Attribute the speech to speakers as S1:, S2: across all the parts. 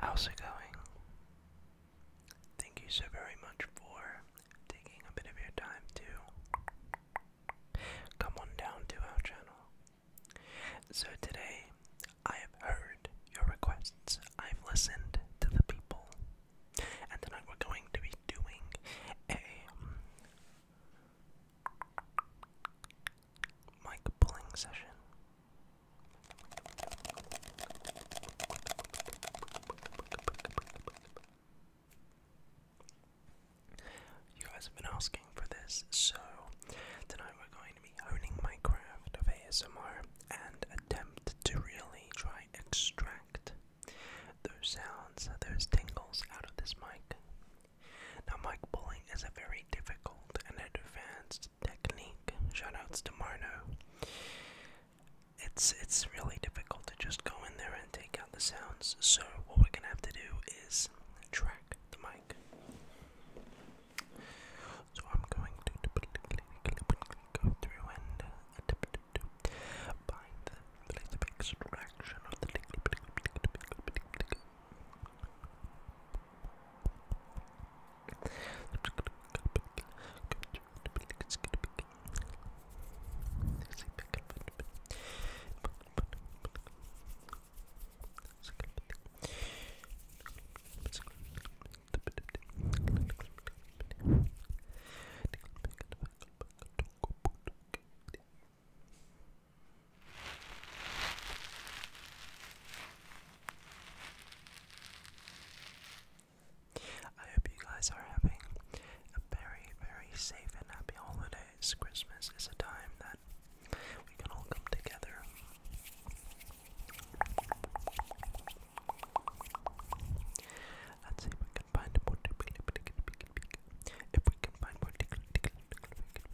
S1: How's it going? Thank you so very much for taking a bit of your time to come on down to our channel. So, today I have heard your requests, I've listened to the people, and tonight we're going to be doing a mic pulling session. You guys have been asking for this, so tonight we're going find me my craft of ASMR and attempt to really try extract those sounds, those tingles out of this mic. Now mic pulling is a very difficult and advanced technique. Shoutouts to Marno. It's it's really difficult to just go in there and take out the sounds. So what we're gonna have to do is track the mic. So I'm going to go through and uh, find the place of extraction I hope you guys are having a very, very safe and happy holidays. Christmas is a time that we can all come together Let's see if we can find more If we can find more tickle, tickle, tickle, tickle.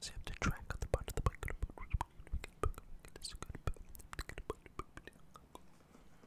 S1: See if the track on the part of the bike. This is good.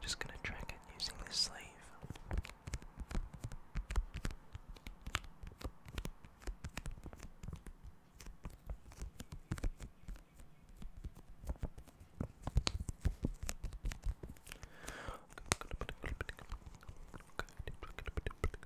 S1: Just gonna track it using this sleeve.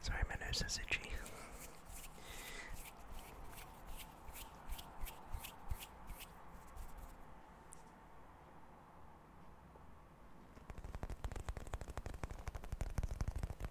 S1: Sorry, my nose is itchy.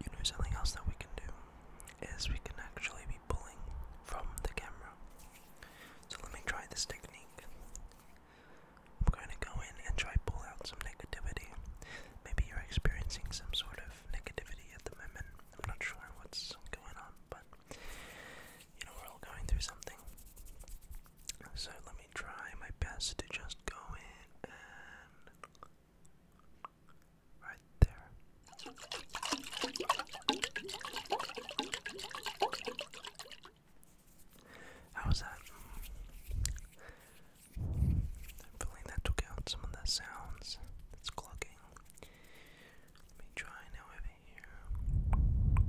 S1: You know something else that we can do is we can actually pulling from the camera. So let me try this technique. I'm going to go in and try pull out some negativity. Maybe you're experiencing some sort of negativity at the moment. I'm not sure what's going on, but you know, we're all going through something. So let me try my best to just go in and. Right there. How's that? I'm feeling that took out some of the sounds that's clogging. Let me try now over here.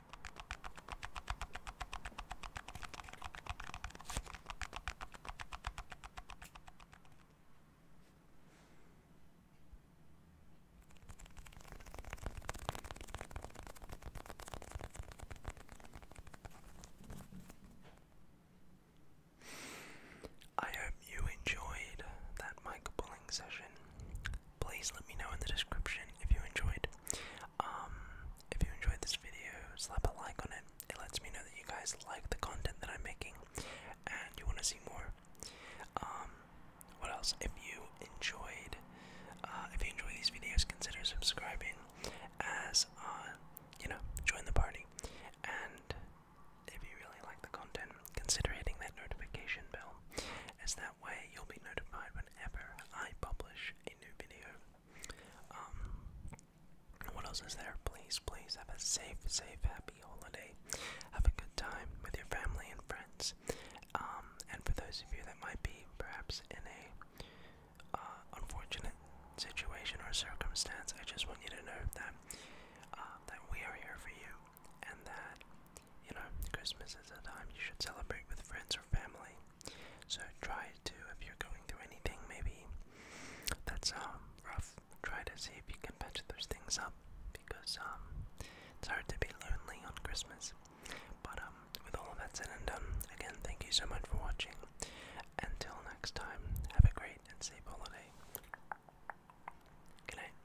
S1: I hope you enjoyed that mic pulling session. Please let me know in the description if you enjoyed. Um, if you enjoyed this video, slap a like on it. It lets me know that you guys like the content that I'm making and you want to see more. Um, what else? If you enjoyed, uh, if you enjoy these videos, consider subscribing as, uh, you know, join the party. And if you really like the content, consider hitting that notification bell, as that way you'll be notified whenever I publish a new video. Um, what else is there? Please, please have a safe, safe, happy holiday. Have a good time with your family and friends. Um, and for those of you that might be perhaps in a uh, unfortunate situation or circumstance, I just want you to know that uh, that we are here for you, and that you know Christmas is a time you should celebrate with friends or family. So try to, if you're going through anything maybe that's um, rough, try to see if you can patch those things up because um, it's hard to be lonely on Christmas. But um, with all of that said and done, again, thank you so much for watching. Until next time, have a great and safe holiday. Good night.